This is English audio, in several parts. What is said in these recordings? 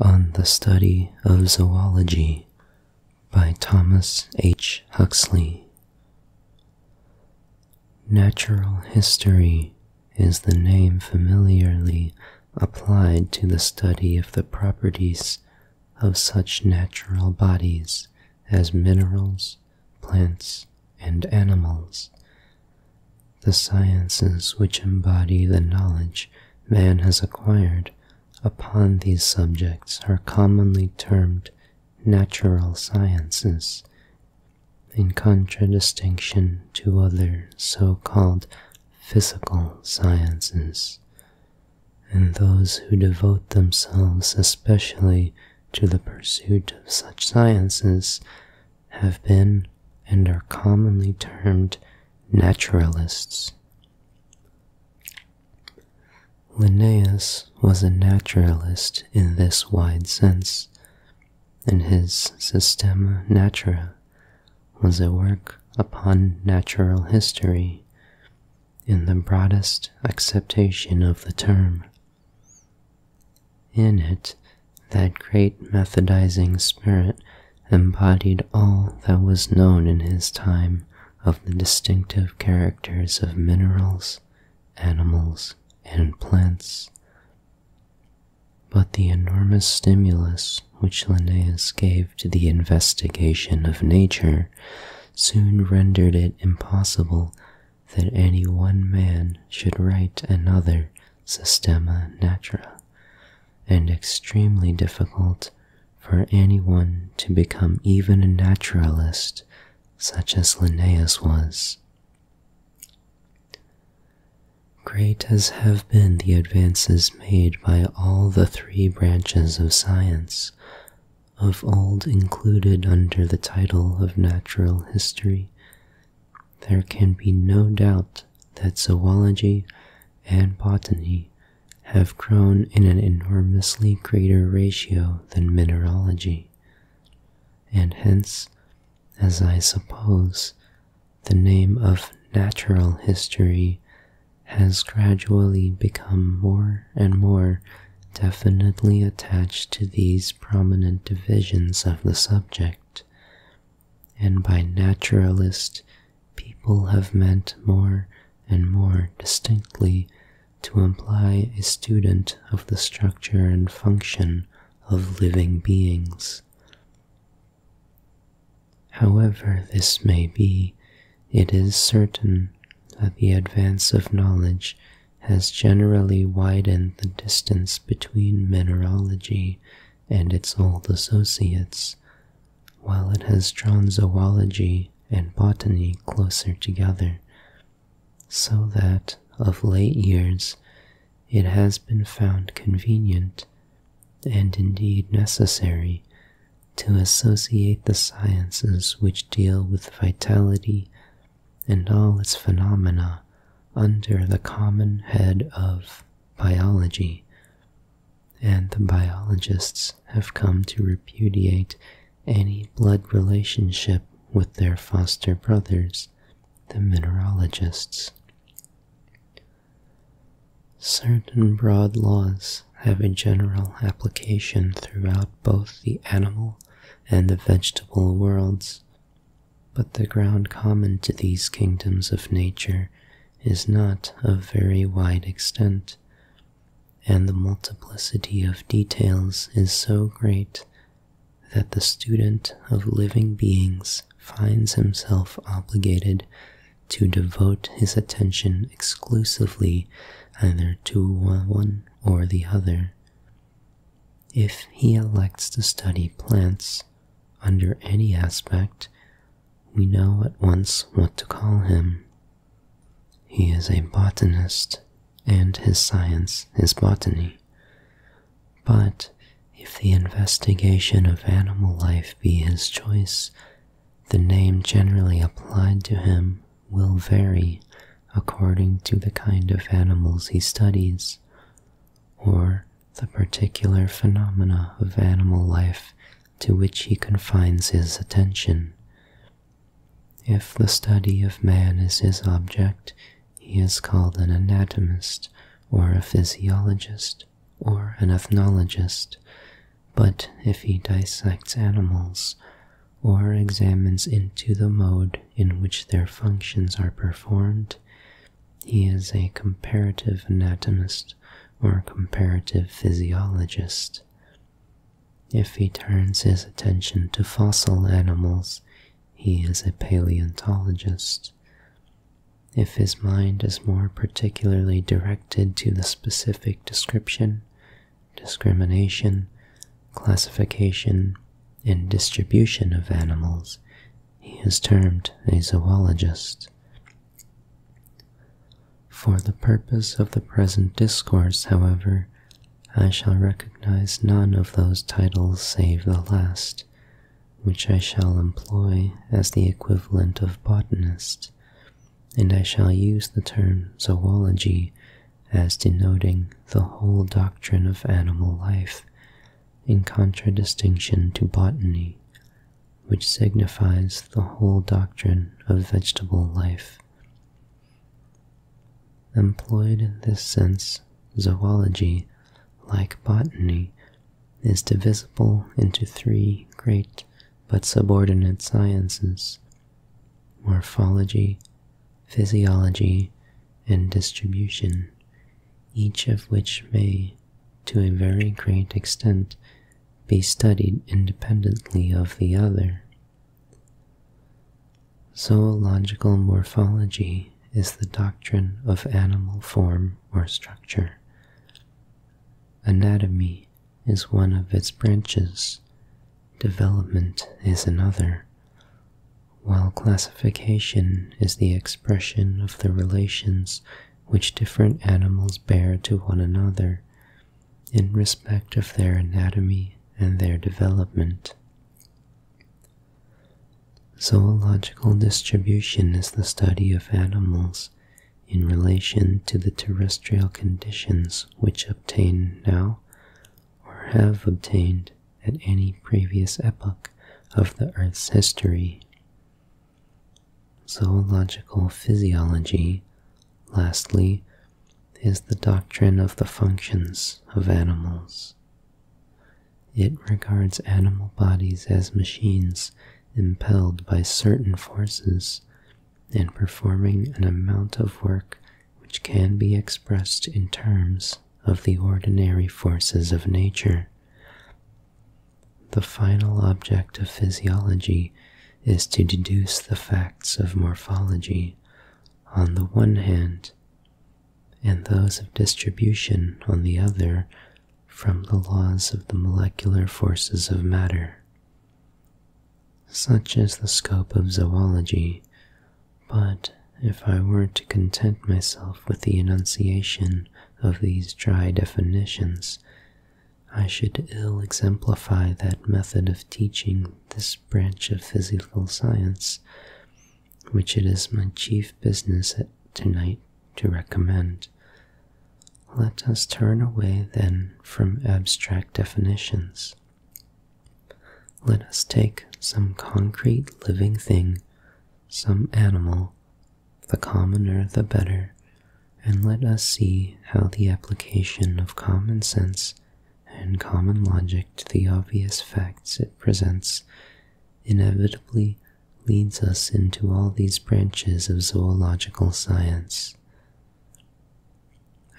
on the Study of Zoology by Thomas H. Huxley. Natural history is the name familiarly applied to the study of the properties of such natural bodies as minerals, plants, and animals, the sciences which embody the knowledge man has acquired upon these subjects are commonly termed natural sciences, in contradistinction to other so-called physical sciences. And those who devote themselves especially to the pursuit of such sciences have been and are commonly termed naturalists. Linnaeus was a naturalist in this wide sense, and his Systema Natura was a work upon natural history in the broadest acceptation of the term. In it, that great methodizing spirit embodied all that was known in his time of the distinctive characters of minerals, animals, and plants. But the enormous stimulus which Linnaeus gave to the investigation of nature soon rendered it impossible that any one man should write another Systema Natura and extremely difficult for anyone to become even a naturalist such as Linnaeus was. Great as have been the advances made by all the three branches of science, of old included under the title of natural history, there can be no doubt that zoology and botany have grown in an enormously greater ratio than mineralogy, and hence, as I suppose, the name of natural history has gradually become more and more definitely attached to these prominent divisions of the subject, and by naturalist people have meant more and more distinctly to imply a student of the structure and function of living beings. However this may be, it is certain that the advance of knowledge has generally widened the distance between mineralogy and its old associates, while it has drawn zoology and botany closer together, so that of late years it has been found convenient and indeed necessary to associate the sciences which deal with vitality and all its phenomena under the common head of biology, and the biologists have come to repudiate any blood relationship with their foster brothers, the mineralogists. Certain broad laws have a general application throughout both the animal and the vegetable worlds, but the ground common to these kingdoms of nature is not of very wide extent, and the multiplicity of details is so great that the student of living beings finds himself obligated to devote his attention exclusively either to one or the other. If he elects to study plants under any aspect, we know at once what to call him. He is a botanist, and his science is botany. But if the investigation of animal life be his choice, the name generally applied to him will vary according to the kind of animals he studies, or the particular phenomena of animal life to which he confines his attention. If the study of man is his object, he is called an anatomist, or a physiologist, or an ethnologist. But if he dissects animals, or examines into the mode in which their functions are performed, he is a comparative anatomist, or a comparative physiologist. If he turns his attention to fossil animals, he is a paleontologist. If his mind is more particularly directed to the specific description, discrimination, classification, and distribution of animals, he is termed a zoologist. For the purpose of the present discourse, however, I shall recognize none of those titles save the last, which I shall employ as the equivalent of botanist, and I shall use the term zoology as denoting the whole doctrine of animal life, in contradistinction to botany, which signifies the whole doctrine of vegetable life. Employed in this sense, zoology, like botany, is divisible into three great but subordinate sciences morphology, physiology, and distribution, each of which may, to a very great extent, be studied independently of the other. Zoological morphology is the doctrine of animal form or structure. Anatomy is one of its branches, development is another, while classification is the expression of the relations which different animals bear to one another in respect of their anatomy and their development. Zoological distribution is the study of animals in relation to the terrestrial conditions which obtain now or have obtained at any previous epoch of the Earth's history. Zoological physiology, lastly, is the doctrine of the functions of animals. It regards animal bodies as machines impelled by certain forces and performing an amount of work which can be expressed in terms of the ordinary forces of nature. The final object of physiology is to deduce the facts of morphology on the one hand and those of distribution on the other from the laws of the molecular forces of matter. Such is the scope of zoology, but if I were to content myself with the enunciation of these dry definitions, I should ill exemplify that method of teaching this branch of physical science, which it is my chief business at tonight to recommend. Let us turn away then from abstract definitions. Let us take some concrete living thing, some animal, the commoner the better, and let us see how the application of common sense and common logic to the obvious facts it presents inevitably leads us into all these branches of zoological science.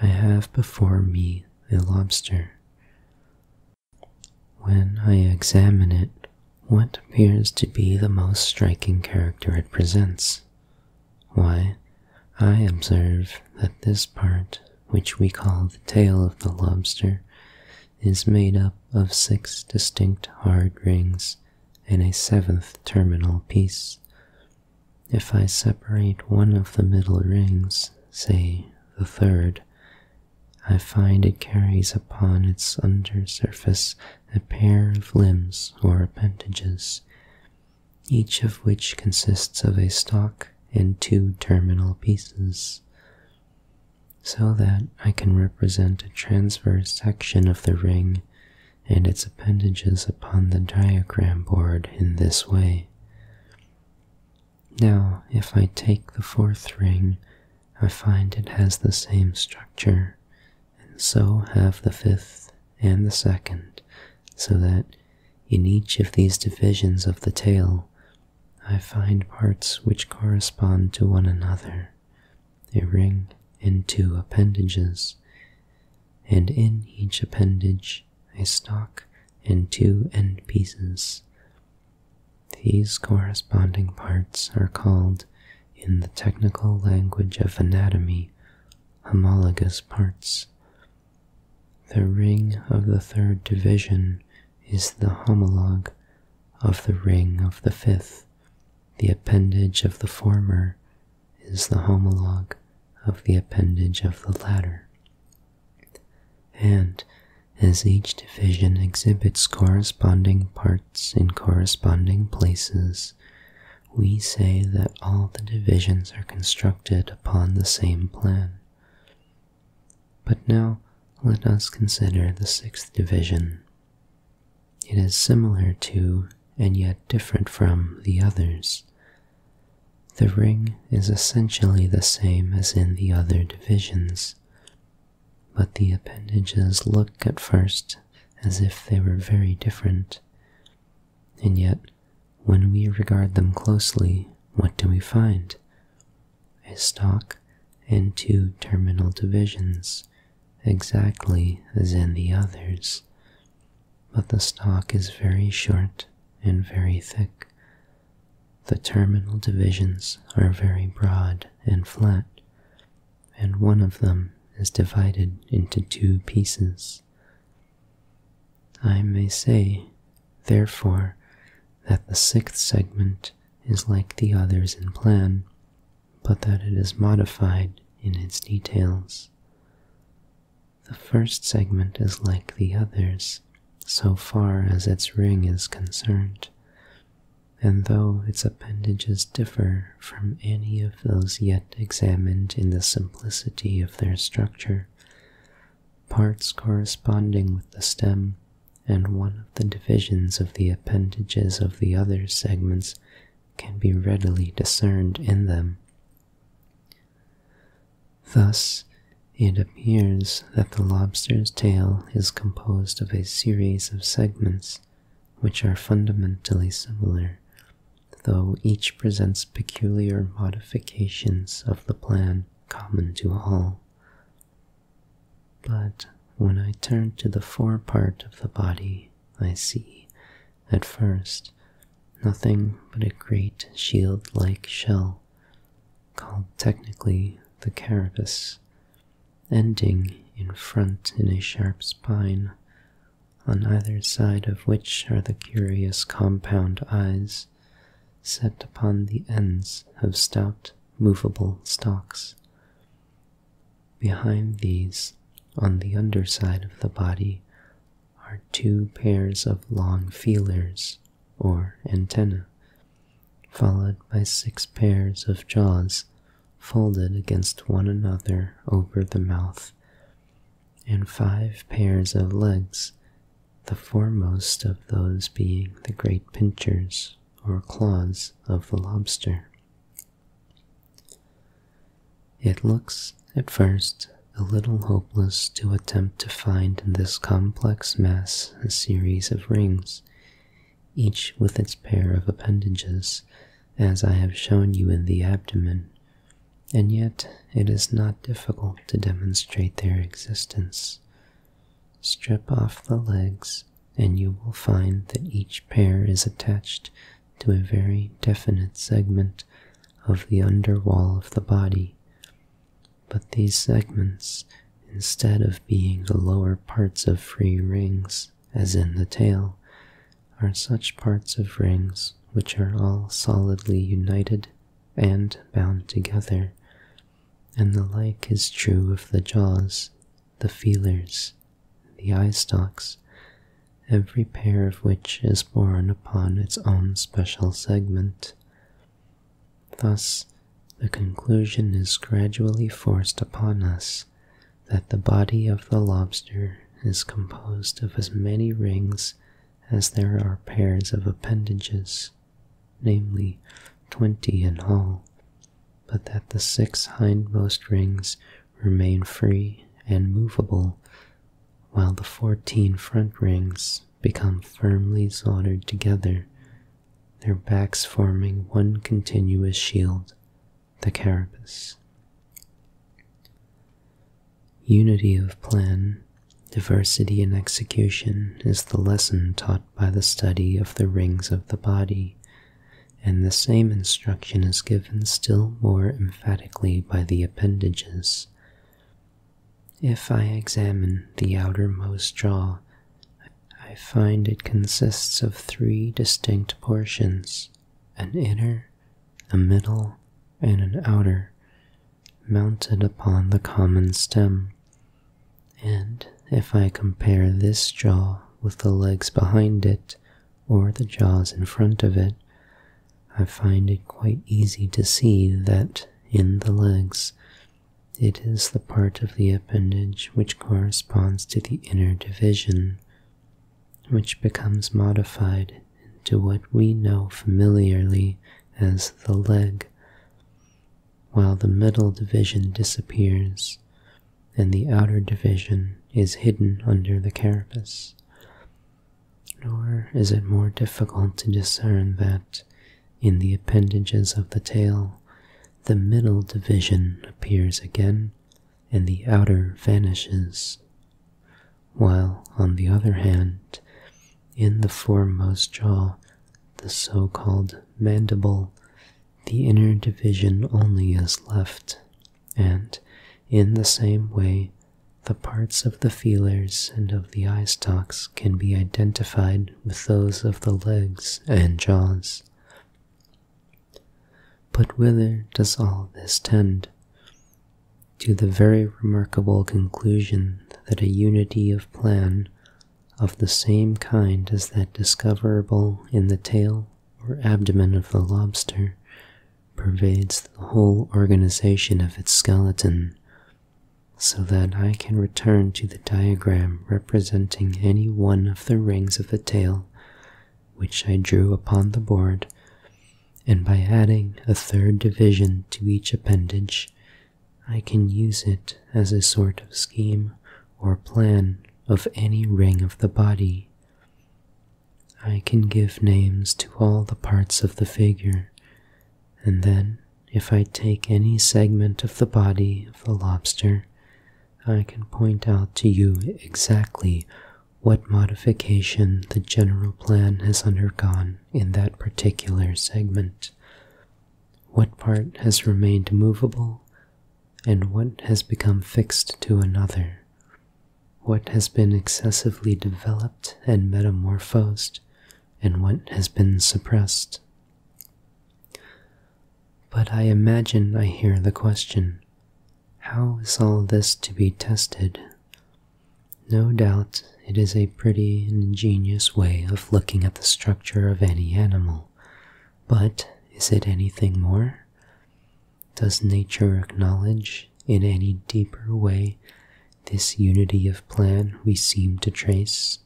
I have before me a lobster. When I examine it, what appears to be the most striking character it presents? Why, I observe that this part, which we call the tail of the lobster, is made up of six distinct hard rings and a seventh terminal piece. If I separate one of the middle rings, say the third, I find it carries upon its under surface a pair of limbs or appendages, each of which consists of a stalk and two terminal pieces, so that I can represent a transverse section of the ring and its appendages upon the diagram board in this way. Now, if I take the fourth ring, I find it has the same structure and so have the fifth and the second, so that in each of these divisions of the tail, I find parts which correspond to one another, a ring and two appendages, and in each appendage a stalk and two end pieces. These corresponding parts are called, in the technical language of anatomy, homologous parts. The ring of the third division is the homologue of the ring of the fifth. The appendage of the former is the homologue of the appendage of the latter. And as each division exhibits corresponding parts in corresponding places, we say that all the divisions are constructed upon the same plan. But now let us consider the sixth division. It is similar to, and yet different from, the others. The ring is essentially the same as in the other divisions, but the appendages look at first as if they were very different, and yet, when we regard them closely, what do we find? A stalk and two terminal divisions, exactly as in the others. But the stalk is very short and very thick. The terminal divisions are very broad and flat and one of them is divided into two pieces. I may say, therefore, that the sixth segment is like the others in plan, but that it is modified in its details. The first segment is like the others, so far as its ring is concerned, and though its appendages differ from any of those yet examined in the simplicity of their structure, parts corresponding with the stem and one of the divisions of the appendages of the other segments can be readily discerned in them. Thus, it appears that the lobster's tail is composed of a series of segments which are fundamentally similar though each presents peculiar modifications of the plan common to all. But when I turn to the fore part of the body, I see, at first, nothing but a great shield-like shell, called technically the carapace, ending in front in a sharp spine on either side of which are the curious compound eyes set upon the ends of stout, movable stalks. Behind these, on the underside of the body, are two pairs of long feelers, or antennae, followed by six pairs of jaws folded against one another over the mouth, and five pairs of legs, the foremost of those being the great pinchers or claws of the lobster. It looks, at first, a little hopeless to attempt to find in this complex mass a series of rings, each with its pair of appendages, as I have shown you in the abdomen, and yet it is not difficult to demonstrate their existence. Strip off the legs, and you will find that each pair is attached to a very definite segment of the under wall of the body. But these segments, instead of being the lower parts of free rings, as in the tail, are such parts of rings which are all solidly united and bound together, and the like is true of the jaws, the feelers, the eye stalks, every pair of which is borne upon its own special segment. Thus, the conclusion is gradually forced upon us that the body of the lobster is composed of as many rings as there are pairs of appendages, namely twenty in all, but that the six hindmost rings remain free and movable, while the fourteen front rings become firmly soldered together, their backs forming one continuous shield, the carapace. Unity of plan, diversity in execution is the lesson taught by the study of the rings of the body, and the same instruction is given still more emphatically by the appendages. If I examine the outermost jaw, I find it consists of three distinct portions an inner, a middle, and an outer, mounted upon the common stem. And if I compare this jaw with the legs behind it or the jaws in front of it, I find it quite easy to see that in the legs it is the part of the appendage which corresponds to the inner division, which becomes modified into what we know familiarly as the leg, while the middle division disappears and the outer division is hidden under the carapace. Nor is it more difficult to discern that, in the appendages of the tail, the middle division appears again and the outer vanishes while on the other hand, in the foremost jaw, the so-called mandible, the inner division only is left, and in the same way, the parts of the feelers and of the eye stalks can be identified with those of the legs and jaws. But whither does all this tend? to the very remarkable conclusion that a unity of plan of the same kind as that discoverable in the tail or abdomen of the lobster pervades the whole organization of its skeleton, so that I can return to the diagram representing any one of the rings of the tail which I drew upon the board and by adding a third division to each appendage, I can use it as a sort of scheme or plan of any ring of the body. I can give names to all the parts of the figure, and then, if I take any segment of the body of the lobster, I can point out to you exactly what modification the general plan has undergone in that particular segment, what part has remained movable, and what has become fixed to another, what has been excessively developed and metamorphosed, and what has been suppressed. But I imagine I hear the question how is all this to be tested? No doubt it is a pretty and ingenious way of looking at the structure of any animal, but is it anything more? Does nature acknowledge, in any deeper way, this unity of plan we seem to trace?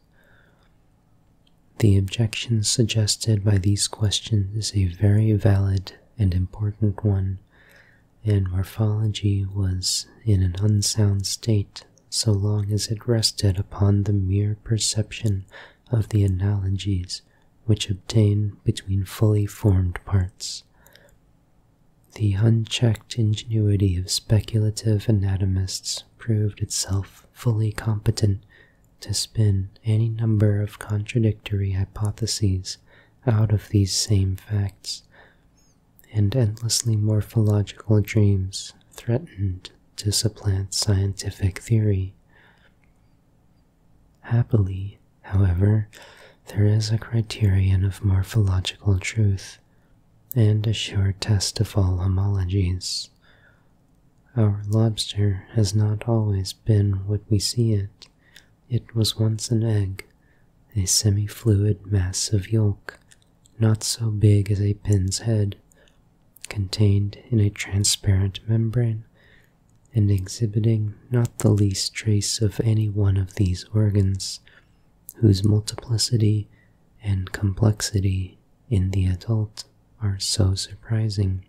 The objection suggested by these questions is a very valid and important one, and morphology was in an unsound state so long as it rested upon the mere perception of the analogies which obtain between fully formed parts. The unchecked ingenuity of speculative anatomists proved itself fully competent to spin any number of contradictory hypotheses out of these same facts, and endlessly morphological dreams threatened to supplant scientific theory. Happily, however, there is a criterion of morphological truth and a sure test of all homologies. Our lobster has not always been what we see it. It was once an egg, a semi-fluid mass of yolk, not so big as a pin's head, contained in a transparent membrane, and exhibiting not the least trace of any one of these organs, whose multiplicity and complexity in the adult are so surprising.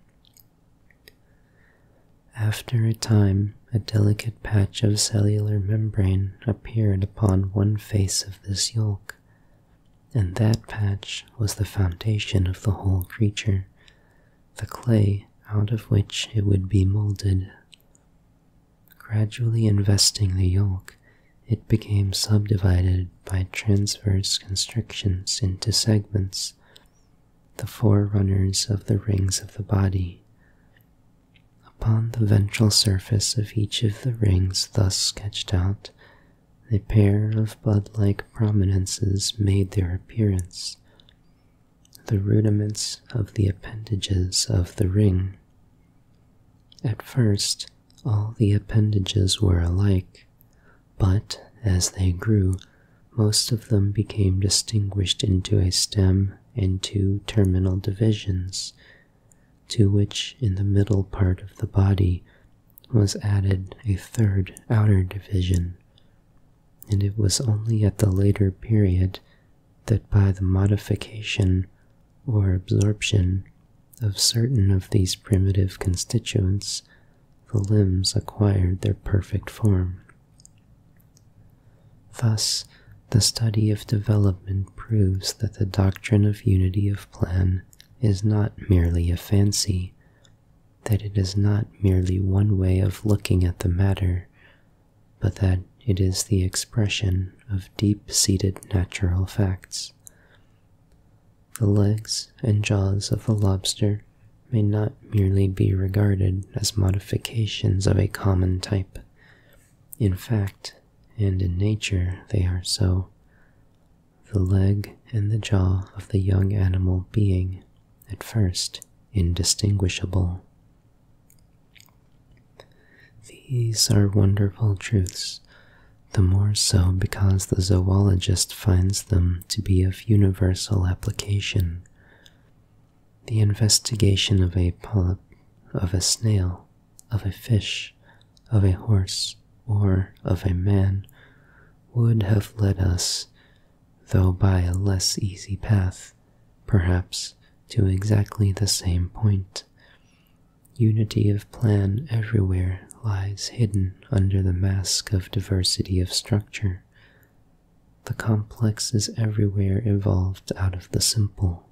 After a time, a delicate patch of cellular membrane appeared upon one face of this yolk, and that patch was the foundation of the whole creature, the clay out of which it would be molded. Gradually investing the yolk, it became subdivided by transverse constrictions into segments, the forerunners of the rings of the body. Upon the ventral surface of each of the rings thus sketched out, a pair of bud-like prominences made their appearance, the rudiments of the appendages of the ring. At first, all the appendages were alike, but as they grew, most of them became distinguished into a stem and two terminal divisions, to which in the middle part of the body was added a third outer division, and it was only at the later period that by the modification or absorption of certain of these primitive constituents the limbs acquired their perfect form. Thus, the study of development proves that the doctrine of unity of plan is not merely a fancy, that it is not merely one way of looking at the matter, but that it is the expression of deep-seated natural facts. The legs and jaws of the lobster may not merely be regarded as modifications of a common type, in fact, and in nature, they are so. The leg and the jaw of the young animal being, at first, indistinguishable. These are wonderful truths, the more so because the zoologist finds them to be of universal application, the investigation of a polyp, of a snail, of a fish, of a horse, or of a man would have led us, though by a less easy path, perhaps, to exactly the same point. Unity of plan everywhere lies hidden under the mask of diversity of structure. The complex is everywhere evolved out of the simple.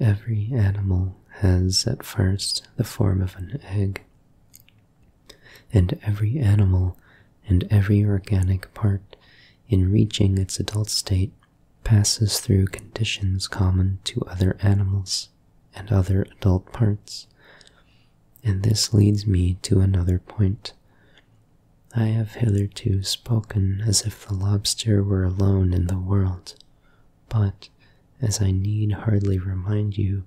Every animal has at first the form of an egg, and every animal and every organic part in reaching its adult state passes through conditions common to other animals and other adult parts. And this leads me to another point, I have hitherto spoken as if the lobster were alone in the world, but, as I need hardly remind you,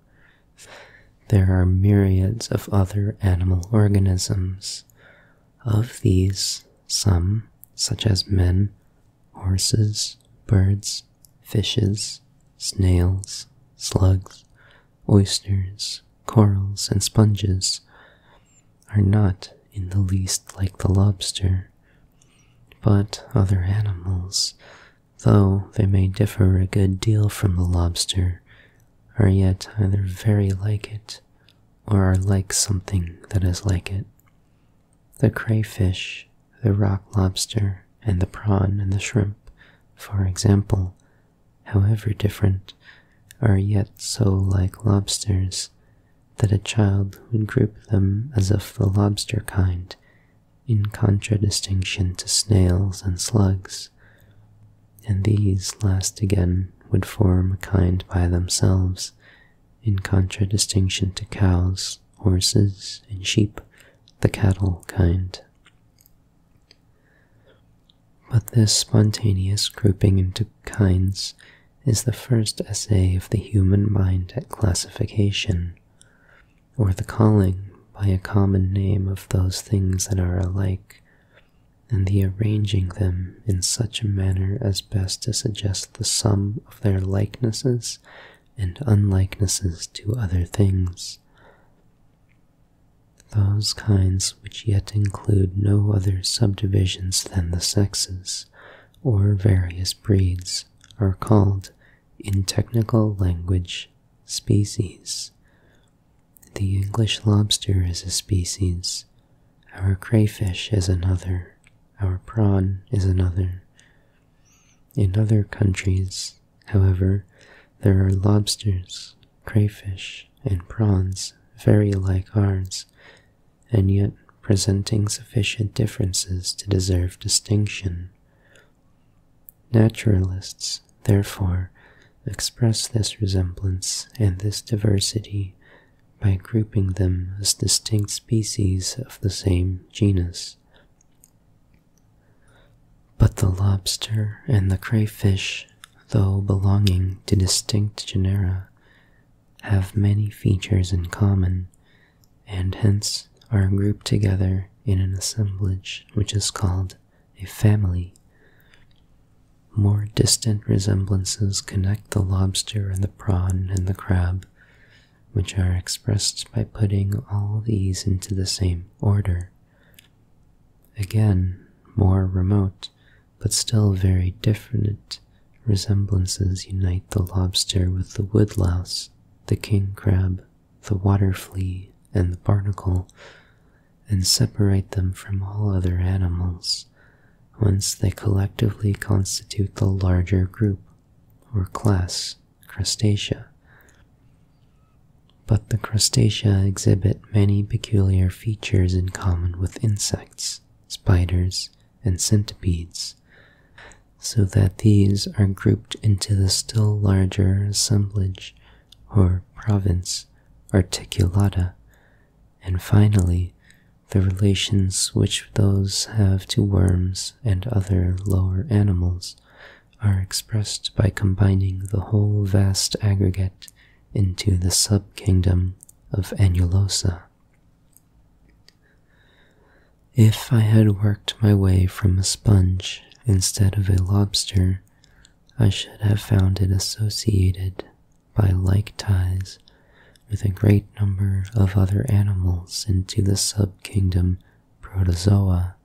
there are myriads of other animal organisms. Of these, some, such as men, horses, birds, fishes, snails, slugs, oysters, corals, and sponges, are not in the least like the lobster, but other animals, though they may differ a good deal from the lobster, are yet either very like it or are like something that is like it. The crayfish, the rock lobster, and the prawn and the shrimp, for example, however different, are yet so like lobsters that a child would group them as of the lobster kind, in contradistinction to snails and slugs, and these last again would form a kind by themselves, in contradistinction to cows, horses, and sheep, the cattle kind. But this spontaneous grouping into kinds is the first essay of the human mind at classification, or the calling by a common name of those things that are alike, and the arranging them in such a manner as best to suggest the sum of their likenesses and unlikenesses to other things. Those kinds which yet include no other subdivisions than the sexes, or various breeds, are called, in technical language, species. The English lobster is a species, our crayfish is another, our prawn is another. In other countries, however, there are lobsters, crayfish, and prawns very like ours, and yet presenting sufficient differences to deserve distinction. Naturalists, therefore, express this resemblance and this diversity by grouping them as distinct species of the same genus. But the lobster and the crayfish, though belonging to distinct genera, have many features in common and hence are grouped together in an assemblage which is called a family. More distant resemblances connect the lobster and the prawn and the crab, which are expressed by putting all these into the same order. Again, more remote but still very different resemblances unite the lobster with the woodlouse, the king crab, the water flea, and the barnacle, and separate them from all other animals, whence they collectively constitute the larger group, or class, crustacea. But the crustacea exhibit many peculiar features in common with insects, spiders, and centipedes, so that these are grouped into the still larger assemblage or province articulata, and finally the relations which those have to worms and other lower animals are expressed by combining the whole vast aggregate into the subkingdom of Annulosa. If I had worked my way from a sponge instead of a lobster, I should have found it associated by like ties with a great number of other animals into the subkingdom Protozoa.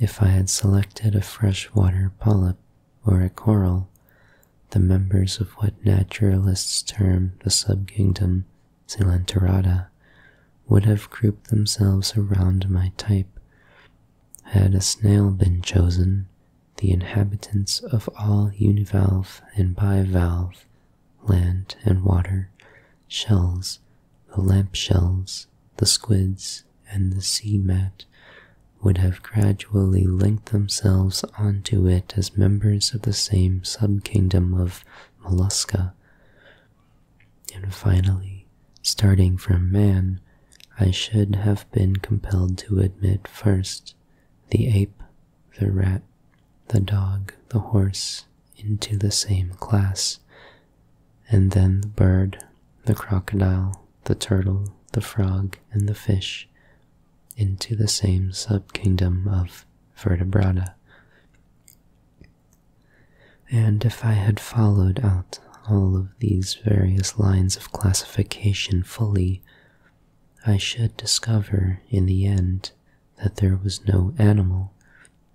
If I had selected a freshwater polyp or a coral, the members of what naturalists term the subkingdom Silenterata would have grouped themselves around my type. Had a snail been chosen, the inhabitants of all univalve and bivalve, land and water, shells, the lamp shells, the squids, and the sea mat would have gradually linked themselves themselves onto it as members of the same subkingdom of Mollusca. And finally, starting from man, I should have been compelled to admit first the ape, the rat, the dog, the horse, into the same class, and then the bird, the crocodile, the turtle, the frog, and the fish into the same subkingdom of vertebrata. And if I had followed out all of these various lines of classification fully, I should discover in the end that there was no animal,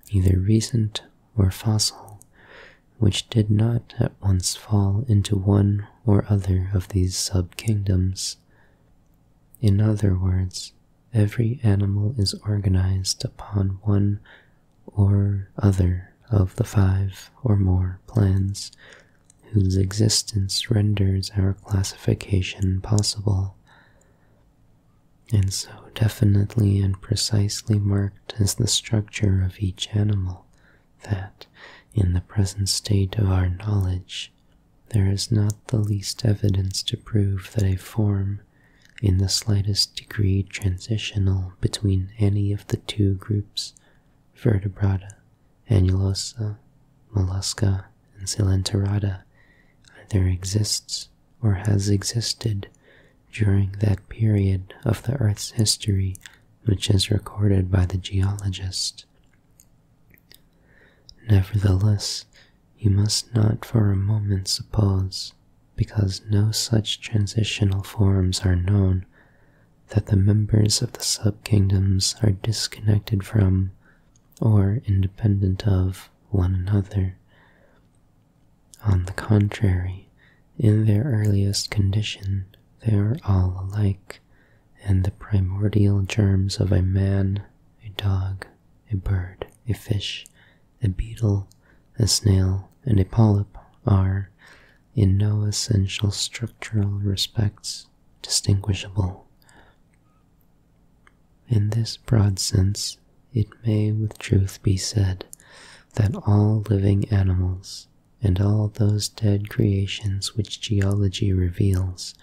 either recent or fossil, which did not at once fall into one or other of these subkingdoms. In other words, every animal is organized upon one or other of the five or more plans whose existence renders our classification possible. And so definitely and precisely marked is the structure of each animal that, in the present state of our knowledge, there is not the least evidence to prove that a form in the slightest degree transitional between any of the two groups, vertebrata, annulosa, mollusca, and coelenterata, either exists or has existed during that period of the Earth's history which is recorded by the geologist Nevertheless, you must not for a moment suppose, because no such transitional forms are known, that the members of the subkingdoms are disconnected from, or independent of, one another. On the contrary, in their earliest condition, they are all alike, and the primordial germs of a man, a dog, a bird, a fish, a beetle, a snail, and a polyp are, in no essential structural respects, distinguishable. In this broad sense, it may with truth be said that all living animals and all those dead creations which geology reveals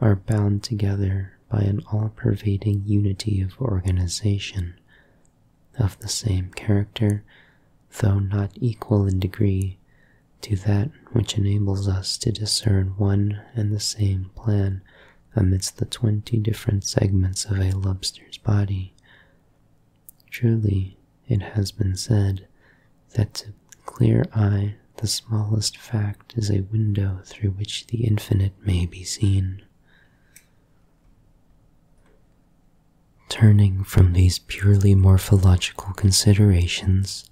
are bound together by an all-pervading unity of organization of the same character, though not equal in degree to that which enables us to discern one and the same plan amidst the twenty different segments of a lobster's body. Truly, it has been said, that to clear eye the smallest fact is a window through which the infinite may be seen. Turning from these purely morphological considerations,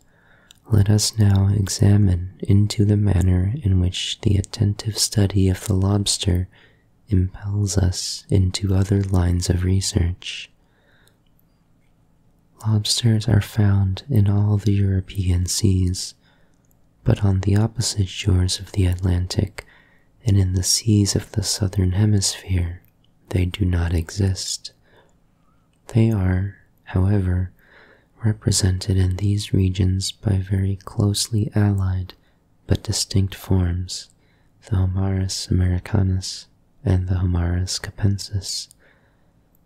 let us now examine into the manner in which the attentive study of the lobster impels us into other lines of research. Lobsters are found in all the European seas, but on the opposite shores of the Atlantic and in the seas of the southern hemisphere, they do not exist. They are, however, represented in these regions by very closely allied but distinct forms, the Homarus americanus and the Homarus capensis,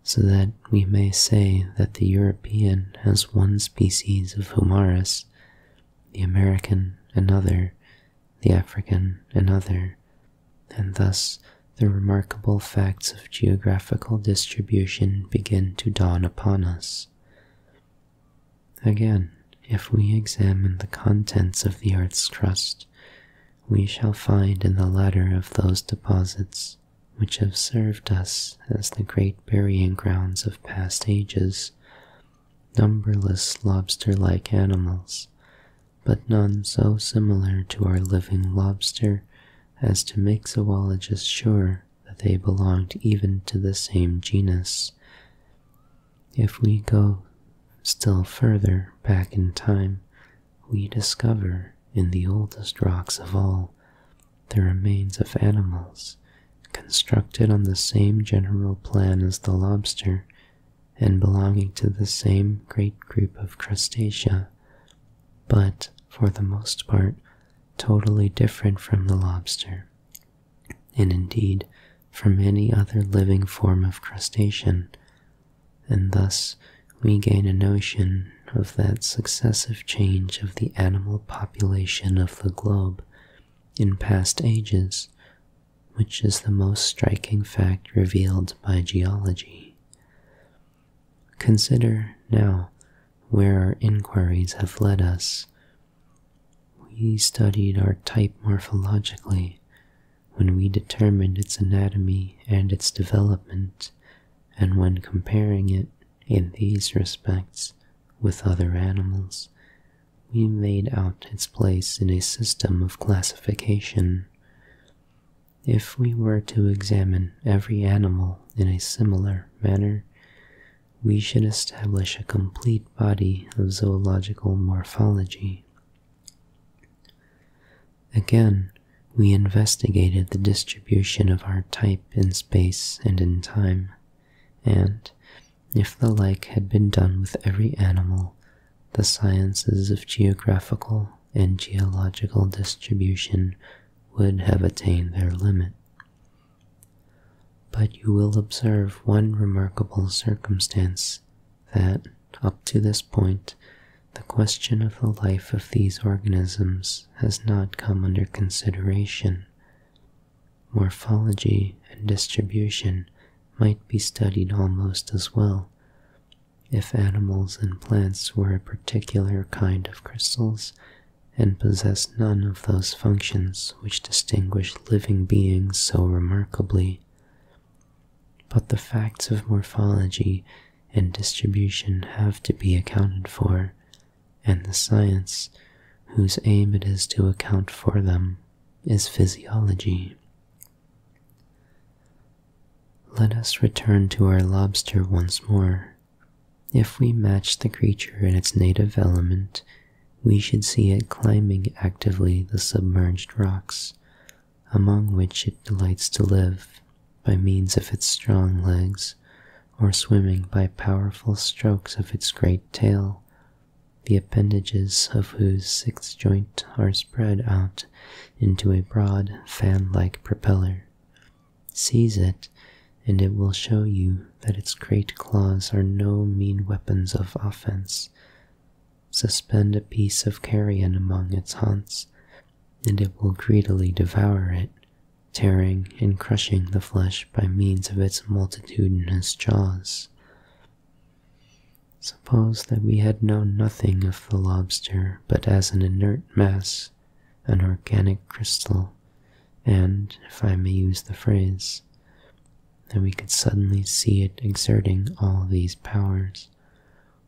so that we may say that the European has one species of Homarus, the American another, the African another, and thus the remarkable facts of geographical distribution begin to dawn upon us. Again, if we examine the contents of the earth's crust, we shall find in the latter of those deposits which have served us as the great burying grounds of past ages, numberless lobster like animals, but none so similar to our living lobster as to make zoologists sure that they belonged even to the same genus. If we go still further back in time, we discover in the oldest rocks of all the remains of animals constructed on the same general plan as the lobster and belonging to the same great group of crustacea, but for the most part totally different from the lobster, and indeed from any other living form of crustacean and thus we gain a notion of that successive change of the animal population of the globe in past ages, which is the most striking fact revealed by geology. Consider now where our inquiries have led us. We studied our type morphologically when we determined its anatomy and its development and when comparing it in these respects with other animals, we made out its place in a system of classification. If we were to examine every animal in a similar manner, we should establish a complete body of zoological morphology. Again, we investigated the distribution of our type in space and in time, and, if the like had been done with every animal, the sciences of geographical and geological distribution would have attained their limit. But you will observe one remarkable circumstance, that, up to this point, the question of the life of these organisms has not come under consideration. Morphology and distribution might be studied almost as well. If animals and plants were a particular kind of crystals and possessed none of those functions which distinguish living beings so remarkably. But the facts of morphology and distribution have to be accounted for, and the science whose aim it is to account for them is physiology. Let us return to our lobster once more. If we match the creature in its native element, we should see it climbing actively the submerged rocks, among which it delights to live by means of its strong legs, or swimming by powerful strokes of its great tail, the appendages of whose six joints are spread out into a broad fan-like propeller. Seize it, and it will show you that its great claws are no mean weapons of offense. Suspend a piece of carrion among its haunts, and it will greedily devour it tearing and crushing the flesh by means of its multitudinous jaws. Suppose that we had known nothing of the lobster but as an inert mass, an organic crystal, and, if I may use the phrase, that we could suddenly see it exerting all these powers,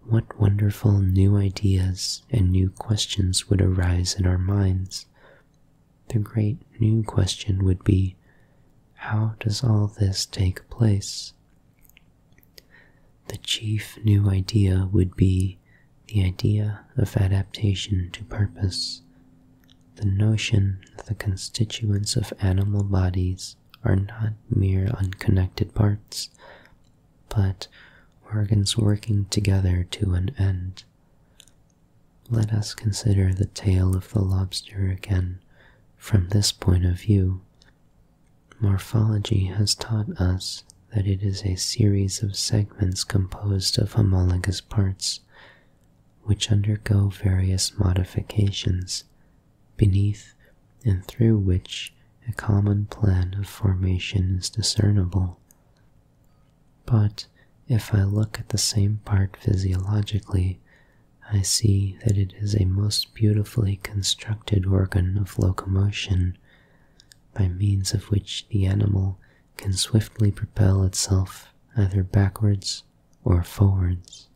what wonderful new ideas and new questions would arise in our minds. The great new question would be, how does all this take place? The chief new idea would be the idea of adaptation to purpose, the notion that the constituents of animal bodies are not mere unconnected parts, but organs working together to an end. Let us consider the tail of the lobster again from this point of view. Morphology has taught us that it is a series of segments composed of homologous parts, which undergo various modifications, beneath and through which a common plan of formation is discernible. But if I look at the same part physiologically, I see that it is a most beautifully constructed organ of locomotion, by means of which the animal can swiftly propel itself either backwards or forwards.